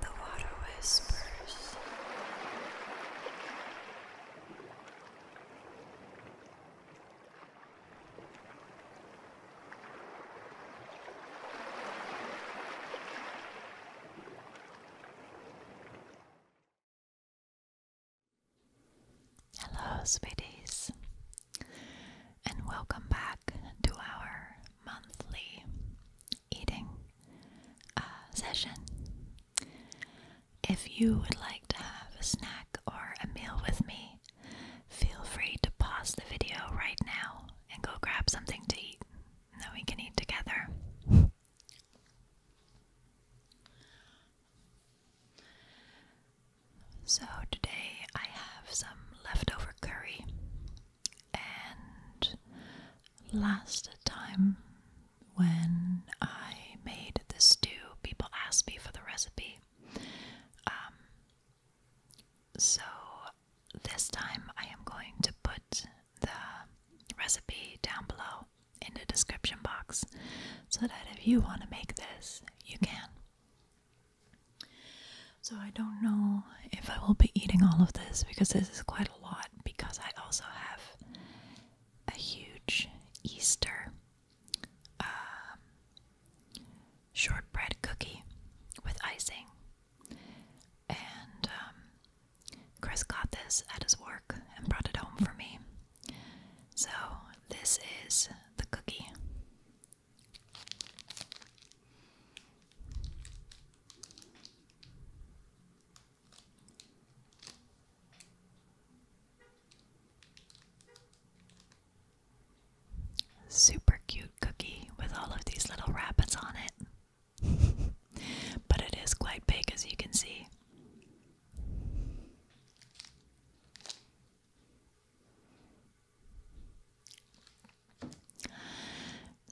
The water whispers. Hello, sweeties, and welcome back to our monthly eating uh, session. If you would like to have a snack or a meal with me, feel free to pause the video right now and go grab something to eat, and then we can eat together. So, today I have some leftover curry and last time when I made the stew, people asked me for the recipe. Um, so this time I am going to put the recipe down below in the description box so that if you want to make this, you can. So I don't know if I will be eating all of this because this is quite a lot because I also have a huge Easter um, shortbread cookie with icing. And um, Chris got this at his work and brought it home for me. So this is the cookie. Super cute cookie with all of these little rabbits on it. but it is quite big as you can see.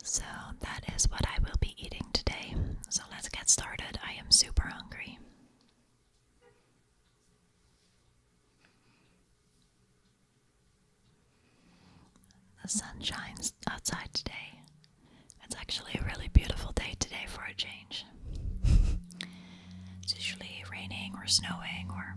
So, that is what I will be eating today. So, let's get started. I am super hungry. The sun shines outside today. It's actually a really beautiful day today for a change. it's usually raining or snowing or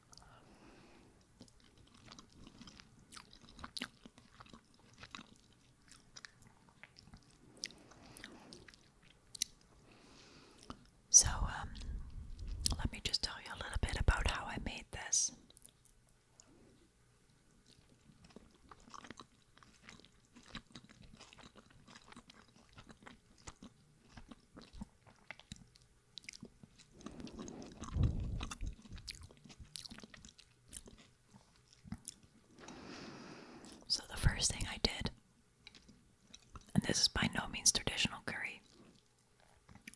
So, um, let me just tell you a little bit about how I made this. So, the first thing I did, and this is by no means traditional curry,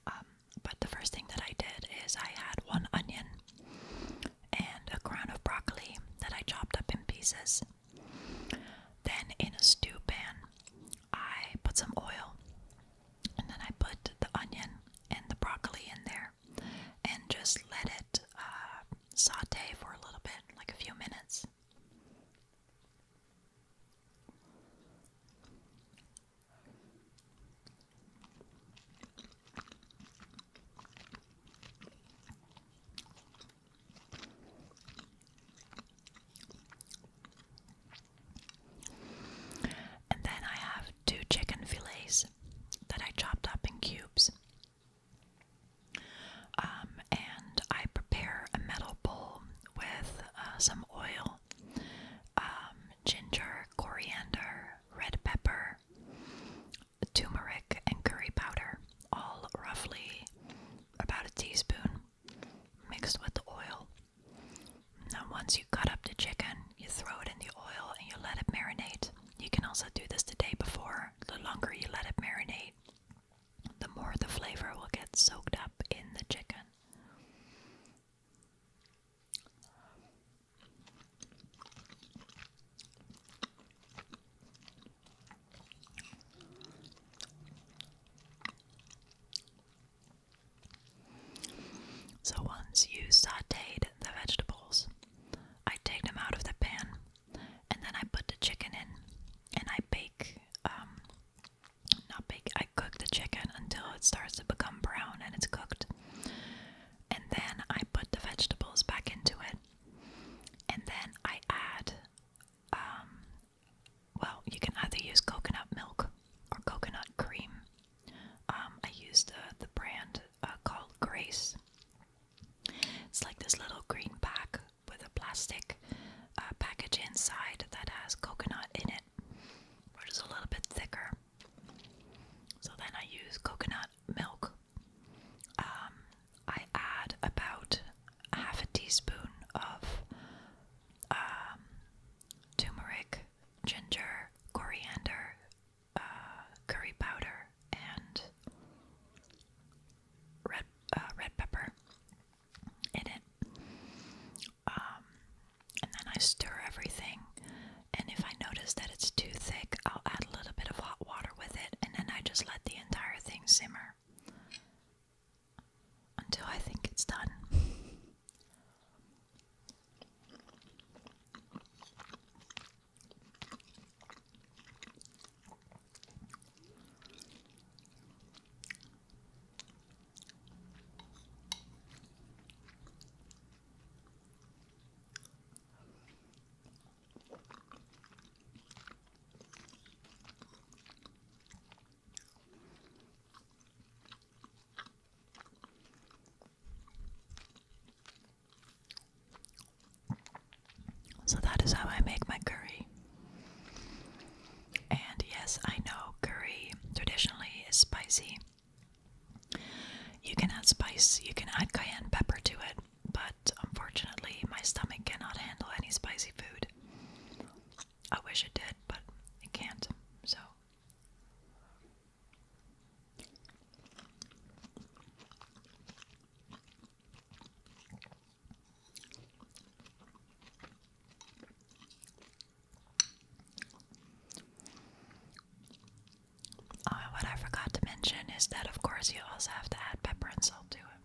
um, but the first thing that I did is I had one onion and a crown of broccoli that I chopped up in pieces. Then, in a stew pan, I put some oil and then I put the onion and the broccoli in there and just let it uh, saute for a little bit, like a few minutes. And then I have two chicken fillets that I chopped up in cubes. Um, and I prepare a metal bowl with uh, some oil, um, ginger, coriander, red pepper, turmeric, and curry powder, all roughly about a teaspoon mixed with the oil. Now, once you cut up the chicken, you throw it in the oil and you let it marinate. You can also do this the day before. The longer you let it marinate, the more the flavor will get soaked up in the chicken. So once you sauteed the vegetables, I take them out of the pan and then I put the chicken in and I bake um, not bake I cook the chicken until it starts to become brown and it's cooked. And then I put the vegetables back into it. And then I add um, well, you can either use coconut milk or coconut cream. Um, I used uh, the brand uh, called Grace. It's like this little green pack with a plastic uh, package inside that has coconut in it, which is a little bit thicker. So then I use coconut milk. Um, I add about half a teaspoon of um, turmeric, ginger, coriander, uh, curry powder, and red uh, red pepper in it. Um, and then I stir everything. And if I notice that it's too thick, I'll add a little bit of hot water with it, and then I just let the entire thing simmer until I think it's done. So that is how I make my curry. And yes, I know curry traditionally is spicy. You can add spice, you can add cayenne pepper to it, but unfortunately, my stomach cannot handle any spicy food. I wish it did, but it can't. So Oh, what I forgot to mention is that, of course, you also have to add pepper and salt to it.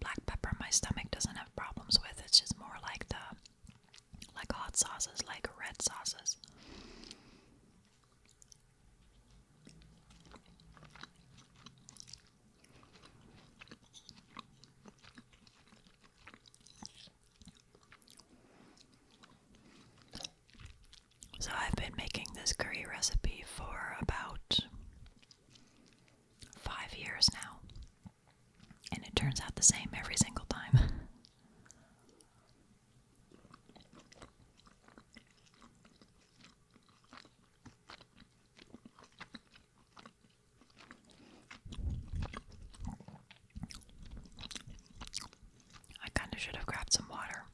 Black pepper, my stomach doesn't have problems with. It's just more like the like hot sauces, like red sauces. So, I've been making this curry recipe for about five years now. And it turns out the same every single time. I kind of should have grabbed some water.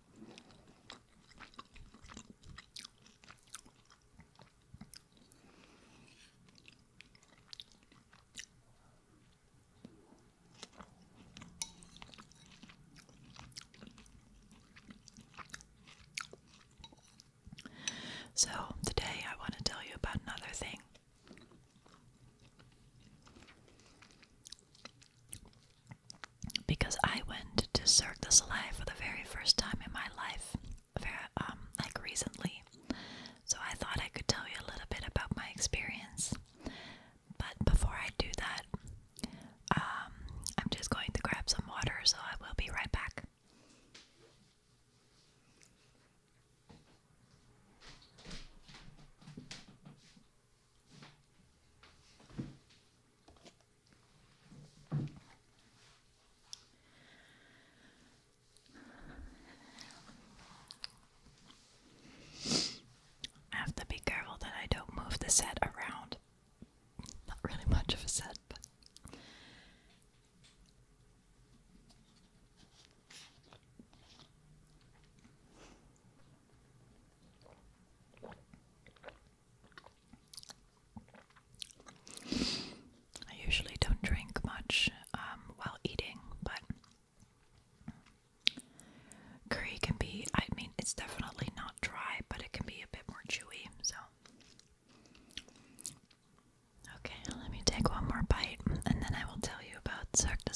So, today I want to tell you about another thing. Because I went to Cirque du Soleil for the very first time in my life very, um, like recently. So I thought I could tell you a little bit about my experience. But before I do that, um, I'm just going to grab some water, so I will be right back. I have to be careful that I don't move the set around. Not really much of a set, but. I usually don't drink much um, while eating, but curry can be, I mean, it's definitely not dry, but it can be a bit more chewy, so. Okay, let me take one more bite and then I will tell you about Cirque du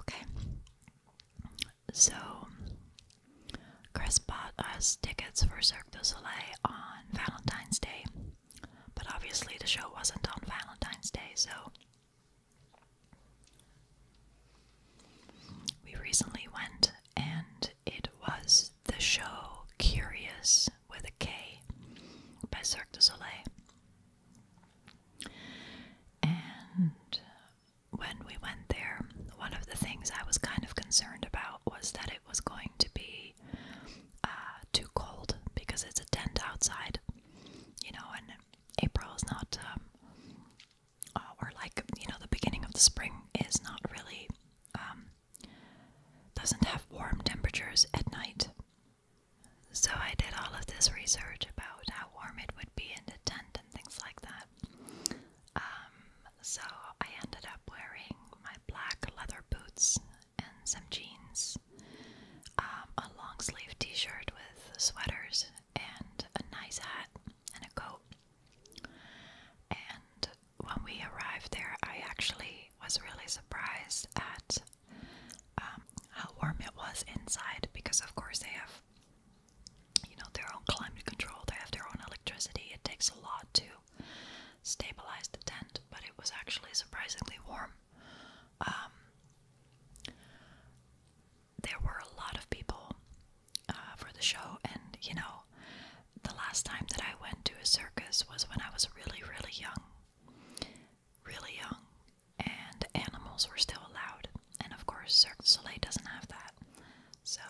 Okay. So, Chris bought us tickets for Cirque du Soleil on Valentine's Day, but obviously the show wasn't on Valentine's Day, so we recently went and it was the show Curious with a K by Cirque du Soleil. And when we went there, one of the things I was kind of concerned about was that it was going to be uh, too cold because it's a tent outside, you know, and April is not, um, uh, or like, you know, the beginning of the spring is not really, um, doesn't have warm temperatures at night. So I did all of this research about how warm it would be in the tent and things like that. Um, so I ended up wearing my black leather boots and some jeans um, a long sleeved t shirt with sweaters and a nice hat and a coat. And when we arrived there, I actually was really surprised at um, how warm it was inside because, of course, they have you know their own climate control, they have their own electricity. It takes a lot to stabilize the tent, but it was actually surprisingly warm. Um, there were a lot of people uh, for the show, and you know, the last time that I went to a circus was when I was really, really young. Really young. And animals were still allowed. And of course, Cirque du Soleil doesn't have that. So.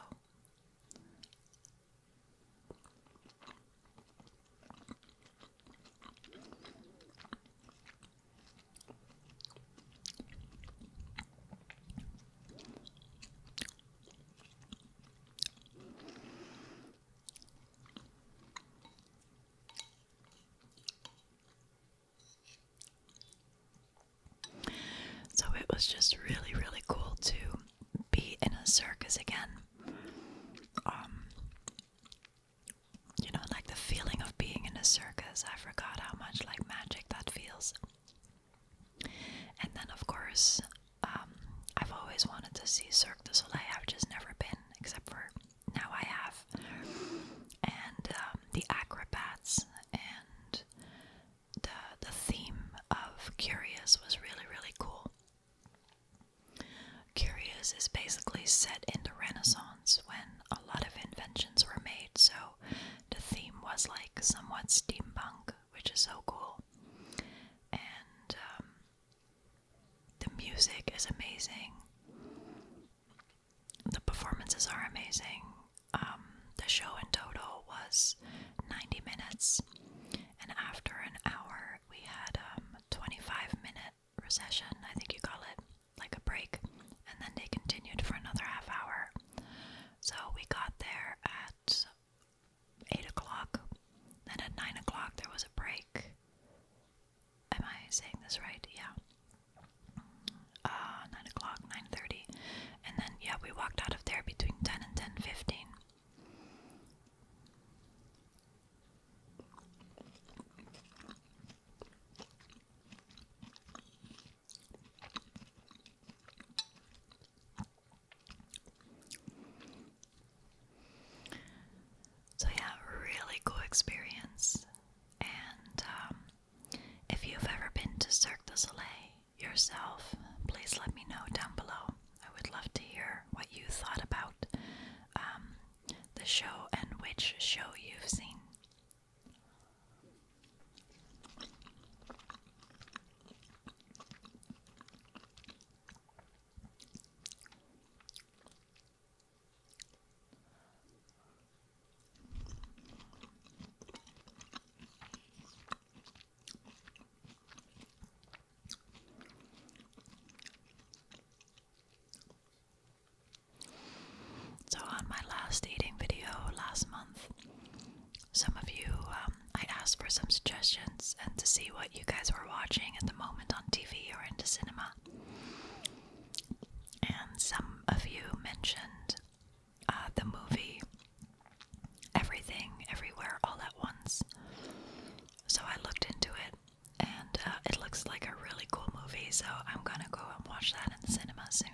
So it was just really, really cool to be in a circus again. Um, you know, like the feeling of being in a circus. I forgot how much like magic that feels. And then, of course, um, I've always wanted to see Cirque du Soleil. I've just never been, except for now I have. And um, the acrobats and the the theme of Curious was really really cool. Curious is basically set in the Renaissance when a lot of inventions were made, so the theme was like somewhat steampunk, which is so cool. And um, the music is amazing, the performances are amazing. Um, the show in total was 90 minutes, and after an hour, we had um, 25 minutes recession, I think you call it, like a break, and then they continued for another half hour. So we got there at 8 o'clock, then at 9 o'clock there was a break. Am I saying this right? Yeah. Uh, 9 o'clock, 9.30. And then, yeah, we walked out of there between 10 and 10.15. So, yeah, really cool experience. And um, if you've ever been to Cirque du Soleil yourself, please let me know down below. I would love to hear what you thought about um, the show and which show you've seen. So, on my last eating video last month, some of you, um, I asked for some suggestions and to see what you guys were watching at the moment on TV or into cinema. And some of you mentioned uh, the movie Everything, Everywhere, All at Once. So I looked into it and uh, it looks like a really cool movie, so I'm gonna go and watch that in the cinema soon.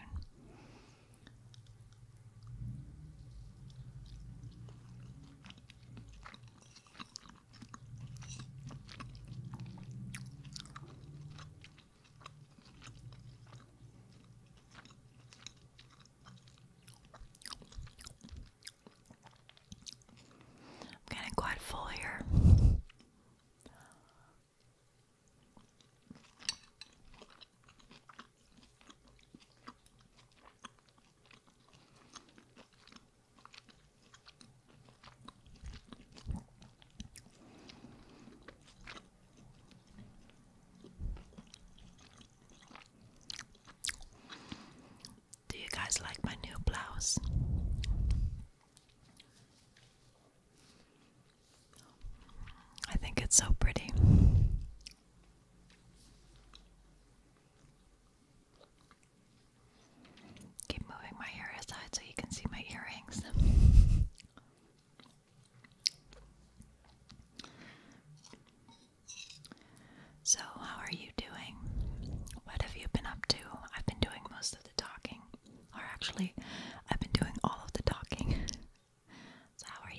I'm getting quite full here. Do you guys like my new blouse? I think it's so pretty. Keep moving my hair aside so you can see my earrings. So, how are you doing? What have you been up to? I've been doing most of the talking. Or actually, I've been doing all of the talking. so, how are you?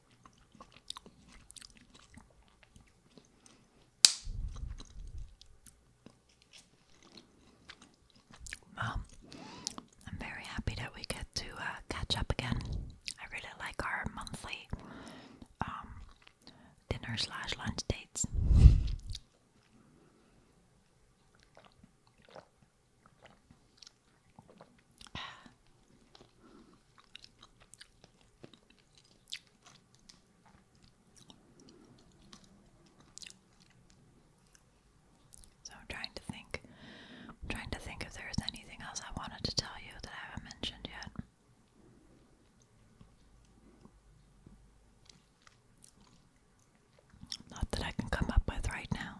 I'm very happy that we get to uh, catch up again. I really like our monthly um, dinner slash lunch dates. So I'm trying to think trying to think if there's anything else I wanted to tell you that I haven't mentioned yet. Not that I can come up with right now.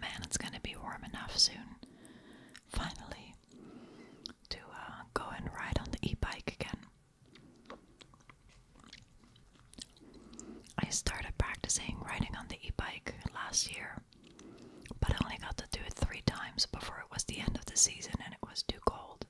Man, it's going to be warm enough soon, finally, to uh, go and ride on the e bike again. I started practicing riding on the e bike last year but I only got to do it three times before it was the end of the season and it was too cold.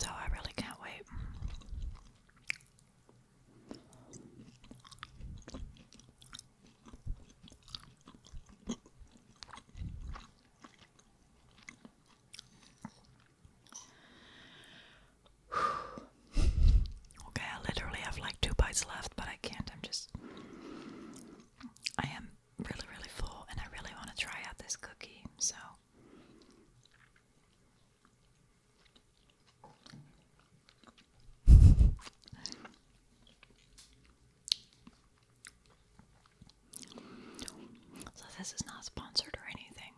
So I really can't wait. okay, I literally have like two bites left, but I can't. I'm just. I am really, really full, and I really want to try out this cookie, so. So, this is not sponsored or anything,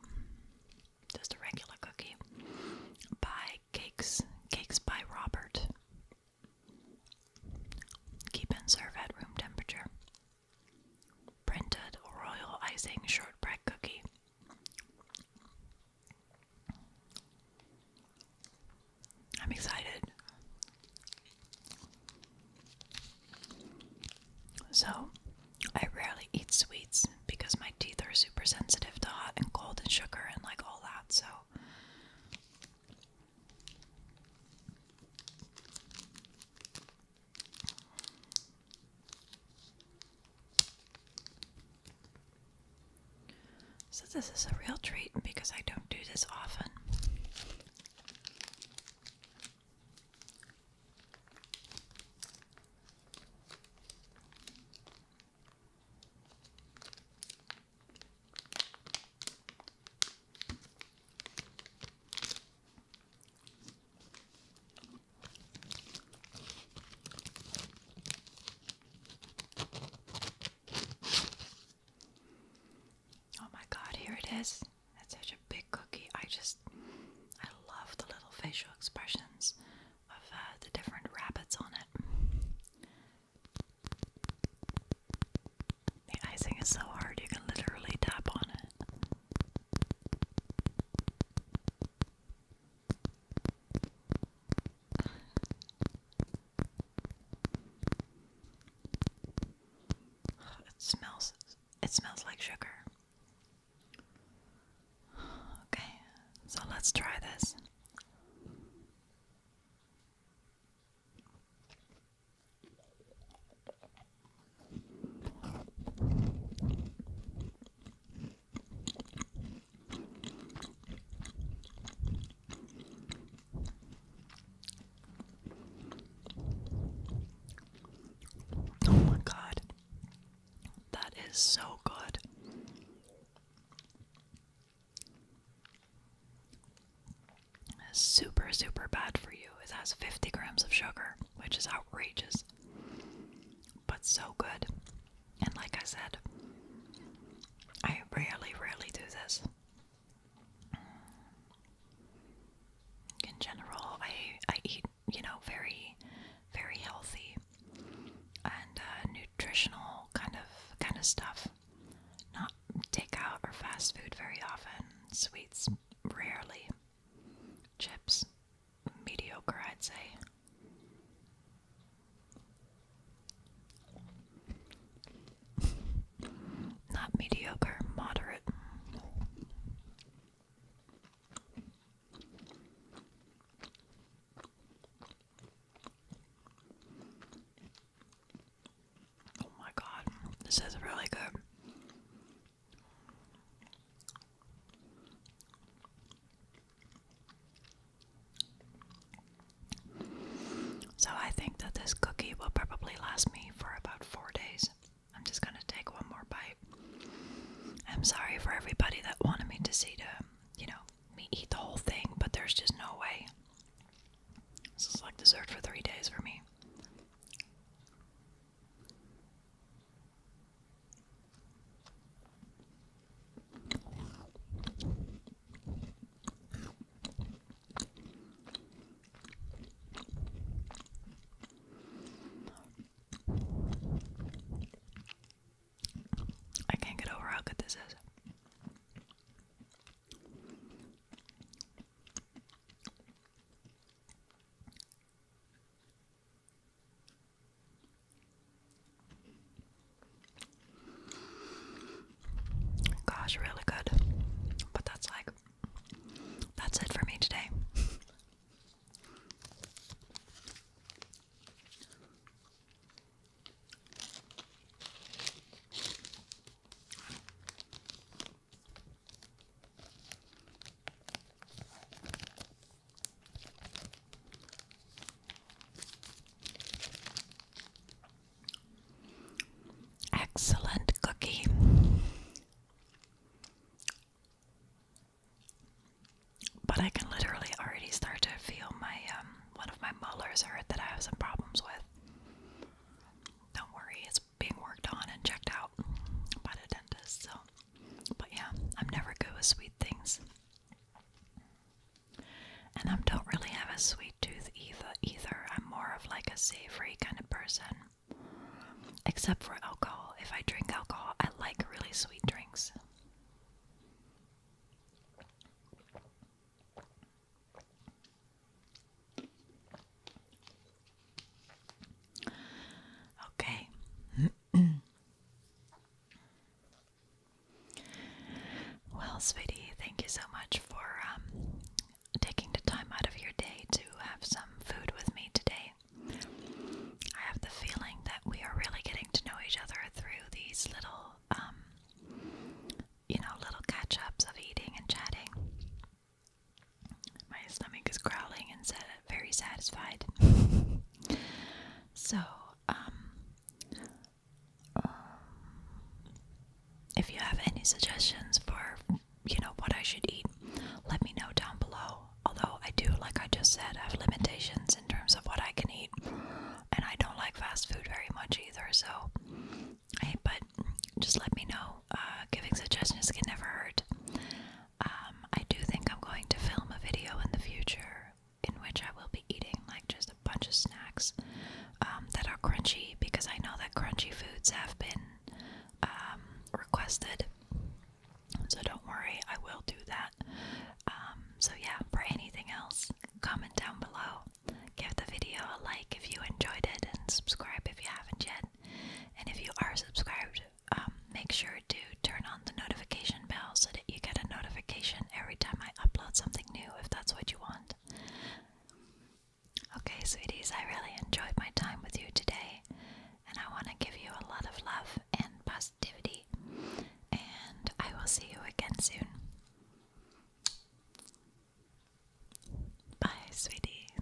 just a regular cookie by Cakes, Cakes by Robert. Keep and serve at room temperature. Printed royal icing shortbread cookie. I'm excited. So, I rarely eat sweets because my teeth are super sensitive to hot and cold and sugar and like all that, so. So, this is a real treat because I don't do this often. Oh my god, here it is. That's such a big cookie. I just, I love the little facial expressions of uh, the different rabbits on it. The icing is so hard, you can literally tap on it. It smells it smells like sugar. Okay, so let's try this. Oh my god. That is so good. Super, super bad for you. It has 50 grams of sugar, which is outrageous, but so good. And like I said, I rarely, rarely do this. In general, I I eat you know very very healthy and uh, nutritional kind of kind of stuff. Not takeout or fast food very often. Sweets rarely. Chips mediocre, I'd say. Not mediocre, moderate. Oh my god, this is really good. So I think that this cookie will probably last me for about four days. I'm just gonna take one more bite. I'm sorry for everybody that wanted me to see to, you know, me eat the whole thing, but there's just no way. This is like dessert for three days for me. I can't get over how good this is. Gosh, really good. But that's like, that's it for me today. Excellent cookie. But I can literally already start to feel my um, one of my molars hurt that I have some problems with. Don't worry, it's being worked on and checked out by the dentist. So, but yeah, I'm never good with sweet things. And I don't really have a sweet tooth either. Either I'm more of like a savory kind of person, except for alcohol. If I drink alcohol, I like really sweet drinks. Okay. Well, sweetie, thank you so much for um, taking the time out of your day to have some food with me today. I have the feeling that we are really getting to know each other through these little, um, you know, little catch ups of eating and chatting. My stomach is growling and said, very satisfied. so, um, um, if you have any suggestions for you know what I should eat, let me know down below. Although I do, like I just said, have limitations in terms of what I can eat, and I don't like fast food very much either. So, but just let me know. Uh, giving suggestions can never hurt. Um, I do think I'm going to film a video in the future in which I will be eating like just a bunch of snacks um, that are crunchy because I know that crunchy foods have been um, requested. So don't worry, I will do that. Um, so, yeah, for anything else, comment down below. Give the video a like if you enjoyed it and subscribe if you haven't yet. And if you are subscribed, make sure to turn on the notification bell so that you get a notification every time I upload something new if that's what you want. Okay, sweeties, I really enjoyed my time with you today, and I want to give you a lot of love and positivity. And I will see you again soon. Bye, sweetie.